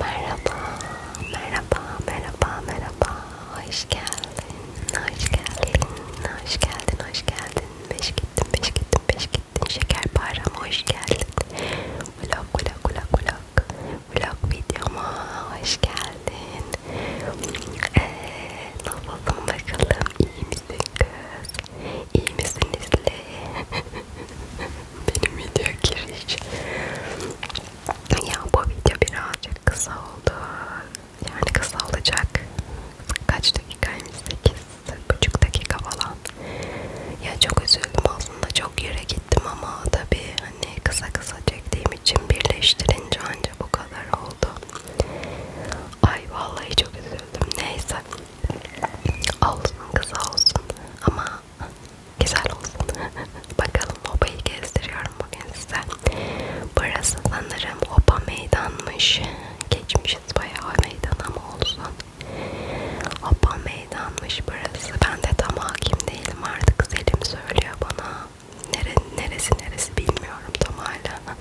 Merhaba, merhaba, merhaba, merhaba. Hoş geldin, hoş geldin, hoş geldin, hoş geldin. Beş gittin, beş gittin, beş gittin. Şeker param hoş geldin. Vlog, vlog, vlog, vlog. Vlog videoma hoş geldin. Ee, nasılsın bakalım? İyi misin kız? İyi misin Nesli? Benim video giriş. Ya bu video birazcık kısa oldu. Yani kısa olacak. Kaç dakikaymış? 8,5 dakika falan. Ya çok üzüldüm aslında çok yere gittim ama tabi hani kısa kısa çektiğim için birleştirince anca bu kadar oldu. Ay vallahi çok üzüldüm. Neyse. Olsun kısa olsun. Ama Güzel olsun. Bakalım Oba'yı gezdiriyorum bugün size. Burası sanırım Oba meydanmış. Geçmişiz bayağı meydan ama olsun. Oba meydanmış burası. Ben de tam hakim değilim artık. Selim söylüyor bana. Nere, neresi neresi bilmiyorum tam hala.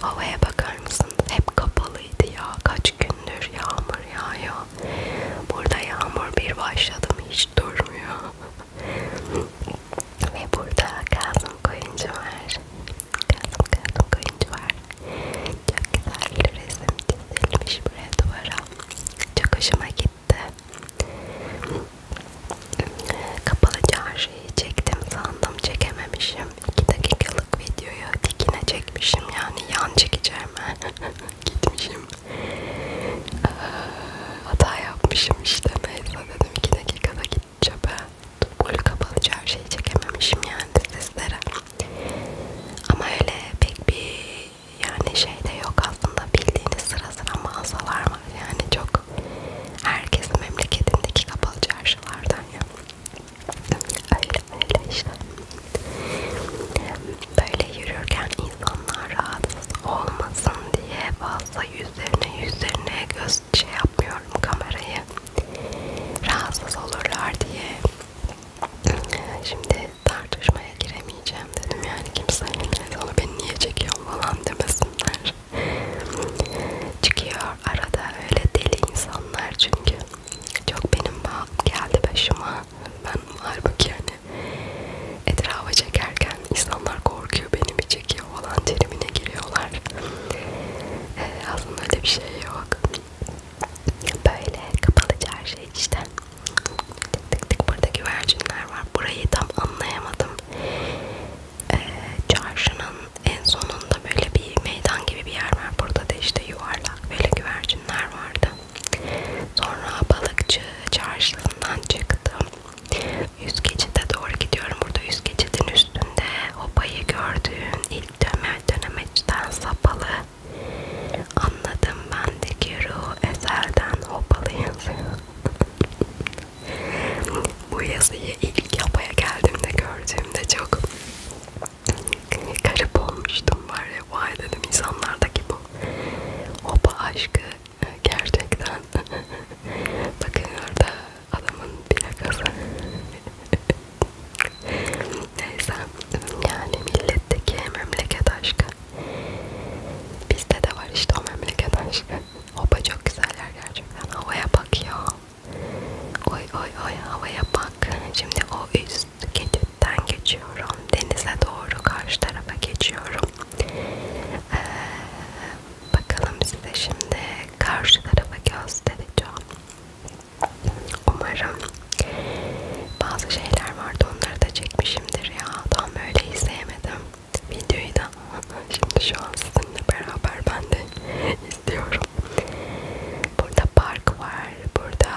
Havaya bakar mısın? Hep kapalıydı ya. Kaç gündür yağmur yağıyor. Burada yağmur bir başladım hiç durmuyor. Ve burada Kazım Koyuncu var. Kazım Kazım Koyuncu var. Çok güzel bir resim çizilmiş buraya duvara. Çok hoşuma gitti. Kapalı çarşıyı çektim sandım çekememişim. 2 dakikalık videoyu dikine çekmişim yani yan çekeceğim. gitmişim. Ee, hata yapmışım işte neyse dedim 2 dakikada gideceğim ben. Full kapalı her şeyi çekememişim yani sizlere. Ama öyle pek bir yani şey de yok aslında bildiğiniz sıra sıra mağazalar var yani çok herkesin memleketindeki kapalı çarşılardan ya. Öyle böyle işte. Böyle yürürken insanlar rahatsız olmasın diye fazla yüzlerine yüzlerine göz şey yapmıyorum kamerayı. Rahatsız olurlar diye. Şimdi tartışmaya giremeyeceğim dedim yani kimse hani onu beni niye çekiyor falan demesinler. Çıkıyor arada öyle deli insanlar çünkü çok benim geldi başıma ben halbuki yani etrafa çekerken insanlar korkuyor beni mi çekiyor falan terimine giriyorlar. Ee, aslında öyle bir şey yok. Böyle kapalı çarşı işte. Tık tık tık burada güvercinler var. Burayı tam anlayamadım. Ee, çarşının en sonunda böyle bir meydan gibi bir yer var. Burada da işte yuvarlak böyle güvercinler vardı. Sonra balıkçı çarşısından çıktım. Yüz geçide doğru gidiyorum. Burada yüz geçidin üstünde hobayı gördüğün ilk dönem dönemeçten sapalı. Anladım bendeki ruh ezelden hopalı yazıyor. Bu yazıyı ilk yapaya geldiğimde gördüğümde çok garip olmuştum var ya vay dedim insanlardaki bu opa aşkı e, gerçekten bakın orada adamın plakası neyse yani milletteki memleket aşkı bizde de var işte o memleket aşkı opa çok güzeller gerçekten havaya bak ya oy oy oy havaya bak şimdi o üst gece kentten geçiyorum. Denize doğru karşı tarafa geçiyorum. Ee, bakalım size şimdi karşı tarafa göstereceğim. Umarım bazı şeyler vardı onları da çekmişimdir ya. Tam böyle izleyemedim videoyu da. Şimdi şu an sizinle beraber ben de istiyorum. Burada park var. Burada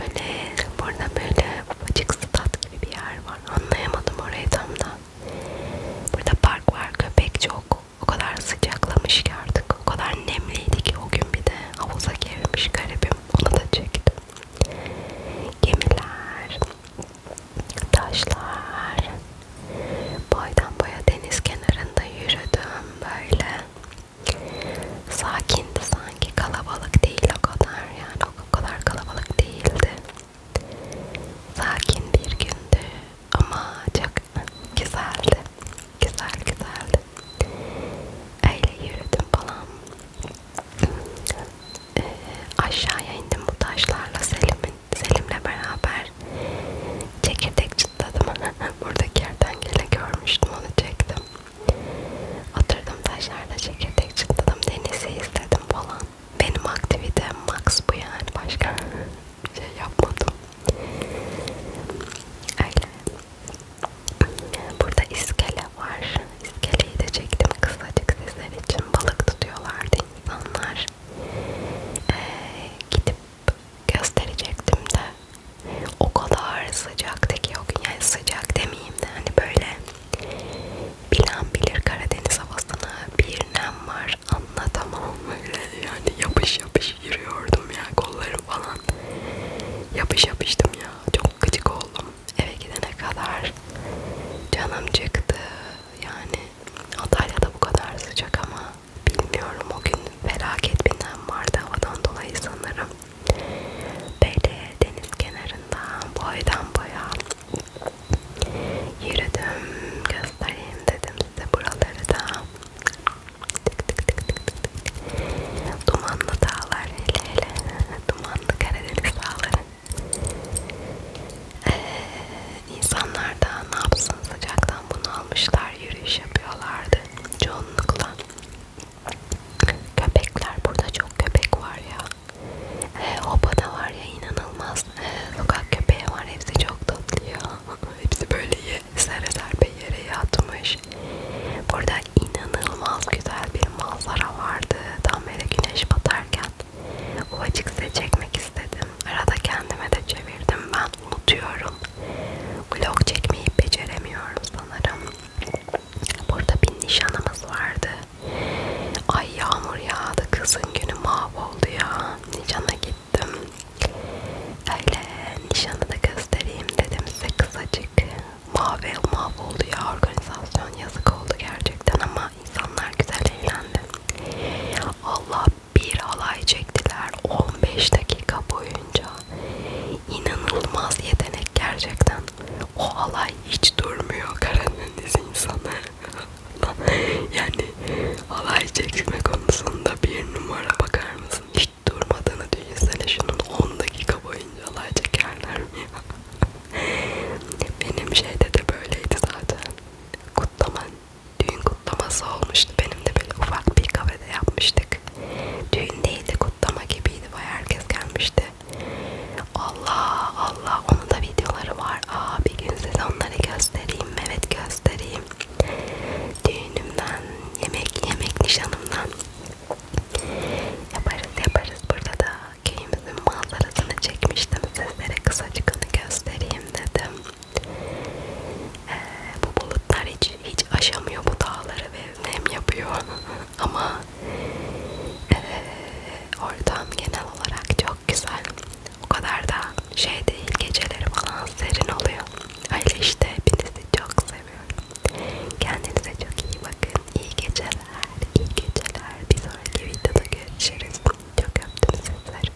böyle burada böyle ufacık stat gibi bir yer var. Anlayamadım orayı tam da. Burada park var. Köpek çok. O kadar sıcaklamış ki artık. O kadar nemliydi ki o gün bir de havuza girmiş garibim. Onu da çektim. Gemiler, taşlar, boydan boya deniz kenarında yürüdüm böyle. Sakindi sanki kalabalık değil o kadar yani o kadar kalabalık değildi. Sakin bir gündü ama çok güzeldi. Güzel güzeldi. Öyle yürüdüm falan. E, aşağıya indim bu taşlarla Selim'in Selim'le beraber çekirdek çıtladım. Burada kertenkele görmüştüm onu çektim. Oturdum taşlarda çekirdek çıtladım. Denizi izledim falan. Benim aktivitem max bu yani. Başka bir şey yapmadım. Öyle. Burada iskele var. İskeleyi de çektim kısacık sizler için. Balık tutuyorlardı insanlar. Ee, gidip gösterecektim de o kadar sıcaktı ki o gün yani sıcak demeyeyim de hani böyle bilen bilir Karadeniz havasına bir nem var anlatamam böyle yani yapış yapış yürüyordum ya kollarım falan yapış yapıştım ya çok gıcık oldum eve gidene kadar canım çıktı yani Antalya'da bu kadar sıcak ama bilmiyorum o gün felaket binem vardı havadan dolayı sanırım. Böyle deniz kenarında boydan boya yürüdüm göstereyim dedim size buraları da. Tık tık tık tık tık. Dumanlı dağlar hele hele dumanlı Karadeniz dağları. Ee, insanlar da ne yapsın sıcaktan bunu almışlar yürüyüş yapıyorlardı çoğunlukla. Köpekler burada çok köpek var ya. E, ee, Oba'da var ya inanılmaz. E, sokak köpeği var hepsi çok tatlı ya. hepsi böyle ye, sere serpe yere yatmış. Burada inanılmaz güzel bir manzara vardı. Tam böyle güneş batarken o açık size çekmek istedim. Arada kendime de çevirdim ben. Unutuyorum. Vlog çekmeyi beceremiyorum sanırım. Burada bir nişanımız vardı. Ay yağmur yağdı. Kızın günü mahvoldu ya. Nişana gittim. Öyle nişanı da göstereyim dedim size kısacık. Mahvel mahvoldu ya. Organizasyon yazık oldu gerçekten ama insanlar güzel eğlendi. Allah bir halay çektiler 15 dakika boyunca. İnanılmaz yetenek gerçekten. O halay hiç durmuyor Karadeniz insanı. yani halay çekme konusunda bir numara bakar mısın? Hiç durmadığını düşünsene şunun 10 dakika boyunca halay çekerler mi ya? Benim şeyde de böyleydi zaten. Kutlaman düğün kutlaması olmuştu. Benim de böyle ufak bir kafede yapmıştık. Düğün değildi, kutlama gibiydi. Bayağı herkes gelmişti. Allah Allah, onun da videoları var. Aa, bir gün size onları göstereyim. Evet göstereyim. Düğünümden, yemek yemek nişanımdan yaparız yaparız. Burada da köyümüzün manzarasını çekmiştim. Sizlere kısacık onu göstereyim dedim. Ee, bu bulutlar hiç, hiç aşamıyor bu dağları ve nem yapıyor ama e, ortam genel olarak çok güzel. O kadar da şey değil geceleri falan serin oluyor. Öyle işte hepinizi çok seviyorum. Kendinize çok iyi bakın. İyi geceler. İyi geceler. Bir sonraki videoda görüşürüz. Çok öptüm sizleri.